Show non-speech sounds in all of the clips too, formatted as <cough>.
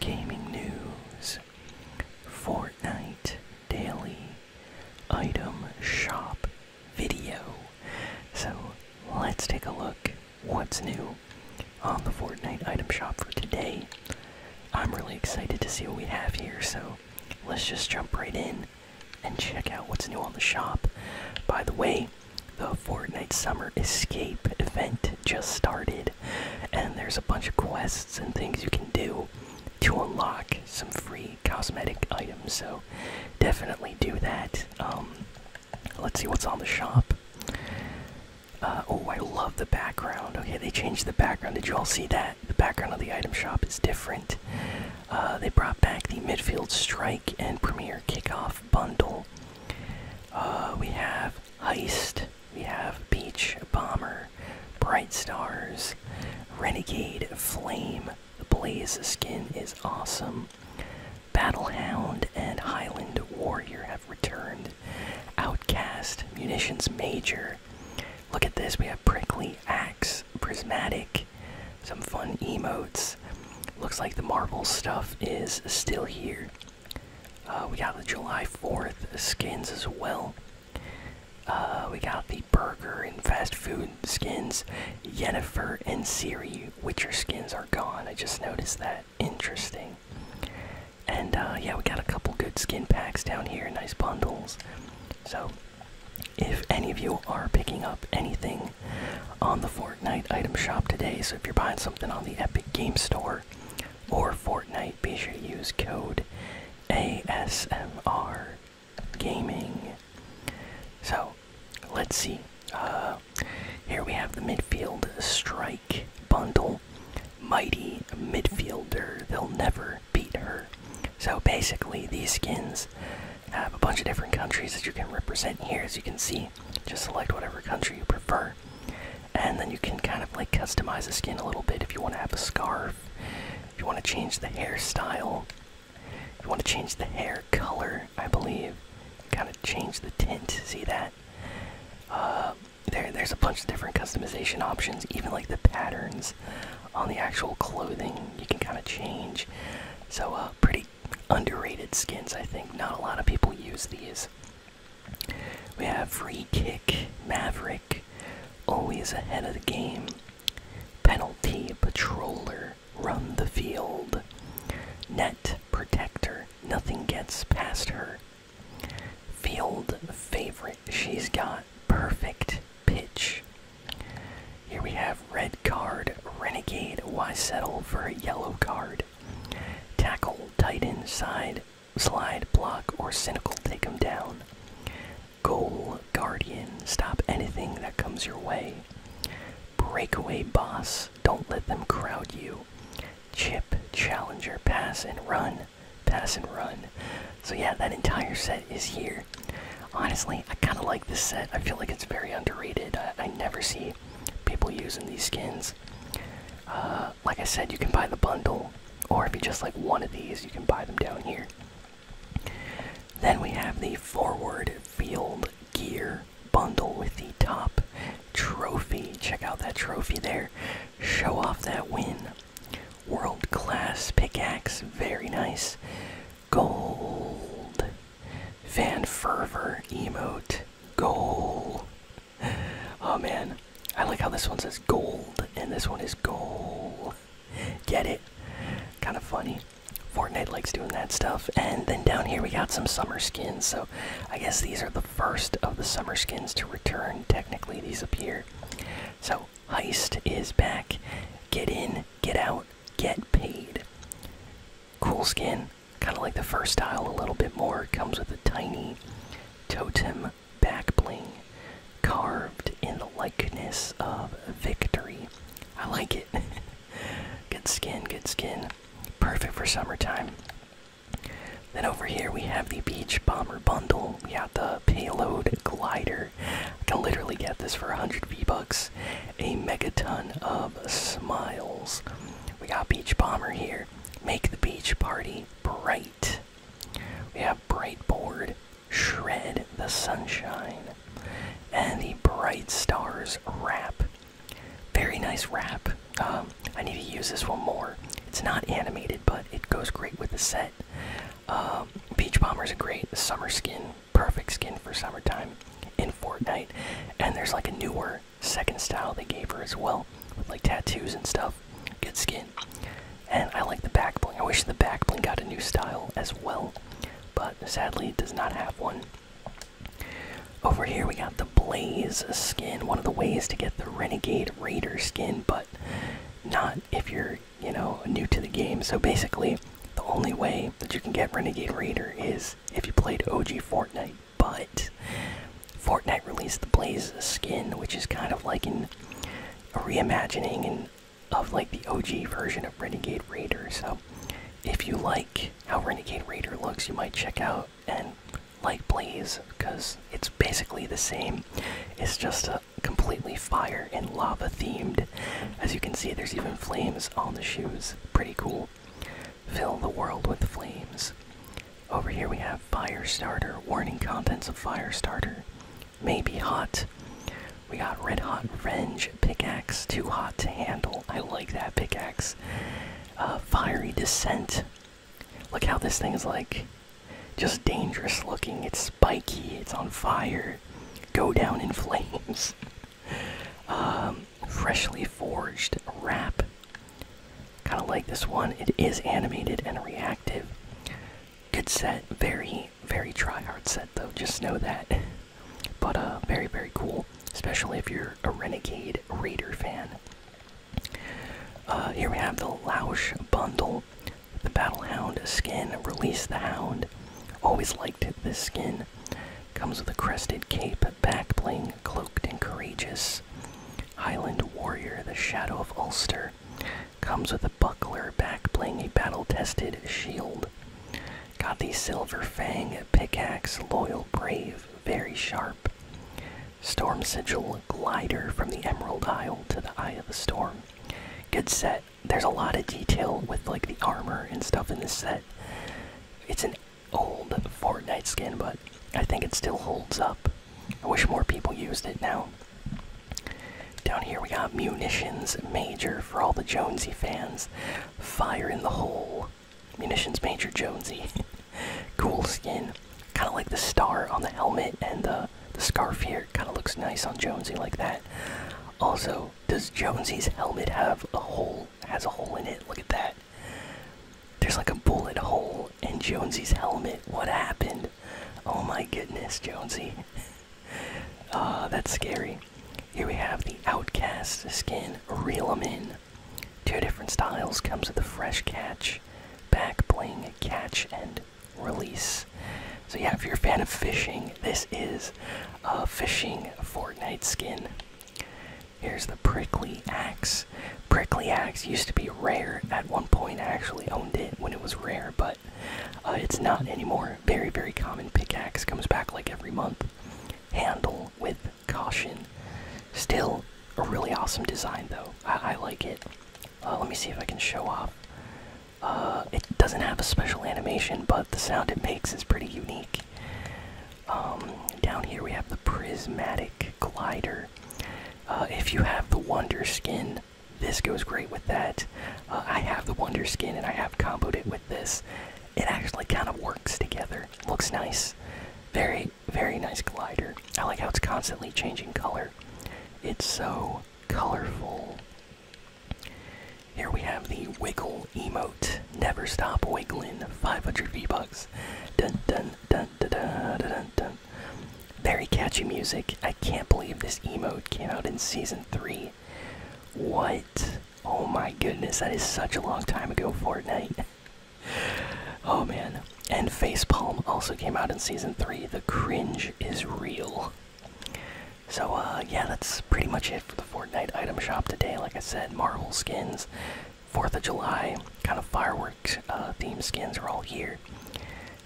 gaming news, Fortnite daily item shop video. So let's take a look what's new on the Fortnite item shop for today. I'm really excited to see what we have here, so let's just jump right in and check out what's new on the shop. By the way, the Fortnite Summer Escape event just started, and there's a bunch of quests and things you can do to unlock some free cosmetic items. So definitely do that. Um, let's see what's on the shop. Uh, oh, I love the background. Okay, they changed the background. Did you all see that? The background of the item shop is different. Uh, they brought back the midfield strike and premier kickoff bundle. Uh, we have Heist. We have Beach Bomber, Bright Stars, Renegade Flame. The Blaze skin is awesome. Battle hound and Highland Warrior have returned. Outcast, Munitions Major. Look at this, we have Prickly Axe, Prismatic, some fun emotes. Looks like the marble stuff is still here. Uh, we got the July 4th skins as well. Uh, we got the burger and fast food skins. Jennifer and Siri Witcher skins are gone. I just noticed that. Interesting. And uh, yeah, we got a couple good skin packs down here. Nice bundles. So, if any of you are picking up anything on the Fortnite item shop today. So if you're buying something on the Epic Game Store or Fortnite, be sure to use code ASMR Gaming. So let's see. Uh, here we have the midfield strike bundle. Mighty midfielder, they'll never beat her. So basically, these skins have a bunch of different countries that you can represent here, as you can see. Just select whatever country you prefer, and then you can kind of like customize the skin a little bit. If you want to have a scarf, if you want to change the hairstyle, if you want to change the hair color, I believe. Kind of change the tint. See that? Uh, there, there's a bunch of different customization options. Even like the patterns on the actual clothing, you can kind of change. So, uh, pretty underrated skins, I think. Not a lot of people use these. We have Free Kick, Maverick, always ahead of the game, Penalty, Patroller, Run the Field, Net, Protector, Nothing Gets Past Her, Field, Favorite, She's Got, Perfect, Pitch. Here we have Red Card, Renegade, Why Settle for a Yellow Card? Tackle, tight end, side, slide, block, or cynical, take him down. Goal, guardian, stop anything that comes your way. Breakaway boss, don't let them crowd you. Chip, challenger, pass and run, pass and run. So, yeah, that entire set is here. Honestly, I kind of like this set. I feel like it's very underrated. I, I never see people using these skins. Uh, like I said, you can buy the bundle, or if you just like one of these, you can buy them down here. Then we have the forward field gear bundle with the top trophy. Check out that trophy there. Show off that win. World class pickaxe, very nice. Gold. Fan fervor emote. Gold. Oh man, I like how this one says gold and this one is gold. Get it? Kind of funny. Fortnite likes doing that stuff. And then down here we got some summer skins. So I guess these are the first of the summer skins to return. Technically, these appear. So Heist is back. Get in, get out, get paid. Cool skin, kind of like the first style a little bit more. Comes with a tiny totem back bling carved in the likeness of victory. I like it. <laughs> good skin, good skin. Perfect for summertime. Then over here we have the Beach Bomber Bundle. We have the Payload Glider. I can literally get this for 100 V-Bucks. A megaton of Bob Smiles. We got Beach Bomber here. Make the beach party bright. We have Bright Board. Shred the sunshine. And the Bright Stars wrap. Very nice wrap. Um, I need to use this one more. It's not animated, but it goes great with the set. Um, Beach Bomber's a great summer skin perfect skin for summertime in Fortnite. And there's like a newer second style they gave her as well, with like tattoos and stuff. Good skin. And I like the back bling. I wish the back bling got a new style as well, but sadly it does not have one. Over here we got the Blaze skin, one of the ways to get the Renegade Raider skin, but not if you're, you know, new to the game. So basically, the only way that you can get Renegade Raider is if you played OG Fortnite, but Fortnite released the Blaze skin, which is kind of like an, a reimagining and of like the OG version of Renegade Raider. So if you like how Renegade Raider looks, you might check out and like Blaze because it's basically the same. It's just a completely fire and lava themed as you can see, there's even flames on the shoes. Pretty cool. Fill the world with flames. Over here we have fire starter. Warning contents of fire starter. May be hot. We got red hot range pickaxe. Too hot to handle. I like that pickaxe. Uh, fiery descent. Look how this thing is like just dangerous looking. It's spiky. It's on fire. Go down in flames. <laughs> Um, freshly forged wrap. Kind of like this one. It is animated and reactive. Good set. Very, very try hard set though. Just know that. But uh, very, very cool. Especially if you're a Renegade Raider fan. Uh, here we have the Lausch bundle. The Battle Hound skin. Release the Hound. Always liked this skin. Comes with a crested cape, back bling, cloaked and courageous. Highland warrior, the shadow of Ulster. Comes with a buckler, back bling, a battle tested shield. Got the silver fang, pickaxe, loyal, brave, very sharp. Storm sigil, glider from the Emerald Isle to the Eye of the Storm. Good set there's a lot of detail with like the armor and stuff in this set. It's an old Fortnite skin, but I think it still holds up. I wish more people used it now. Down here we got Munitions Major for all the Jonesy fans. Fire in the hole. Munitions Major Jonesy. <laughs> cool skin. Kinda like the star on the helmet and the the scarf here. Kinda looks nice on Jonesy like that. Also, does Jonesy's helmet have a hole? Has a hole in it? Look at that. There's like a bullet hole in Jonesy's helmet. What happened? Oh my goodness, Jonesy. uh, <laughs> that's scary. Here we have the Outcast skin. Reel 'em in. Two different styles. Comes with a fresh catch, back bling, catch, and release. So yeah, if you're a fan of fishing, this is a fishing Fortnite skin. Here's the prickly axe. Prickly axe used to be rare at one point. I actually owned it when it was rare, but uh, it's not anymore. Very, very common pickaxe. Comes back like every month. Handle with caution. Still a really awesome design, though. I, like it. Uh, let me see if I can show off uh, it doesn't have a special animation, but the sound it makes is pretty unique. Um, down here we have the prismatic glider. Uh, if you have the wonder skin, this goes great with that. Uh, I have the wonder skin and I have comboed it with this. It actually kind of works together. Looks nice. Very, very nice glider. I like how it's constantly changing color. It's so colorful. Here we have the wiggle emote. Never stop wiggling. 500 V-Bucks. Dun dun dun dun dun dun Very catchy music. I can't believe this emote came out in season 3. What? Oh my goodness, that is such a long time ago, Fortnite. <laughs> oh man. And Facepalm also came out in season 3. The cringe is real. So, uh, yeah, that's pretty much it for the Fortnite item shop today. Like I said, Marvel skins, 4th of July, kind of fireworks uh, themed skins are all here.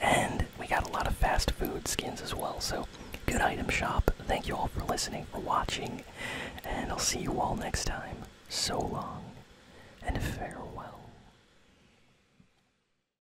And we got a lot of fast food skins as well. So, good item shop. Thank you all for listening, for watching, and I'll see you all next time. So long, and farewell.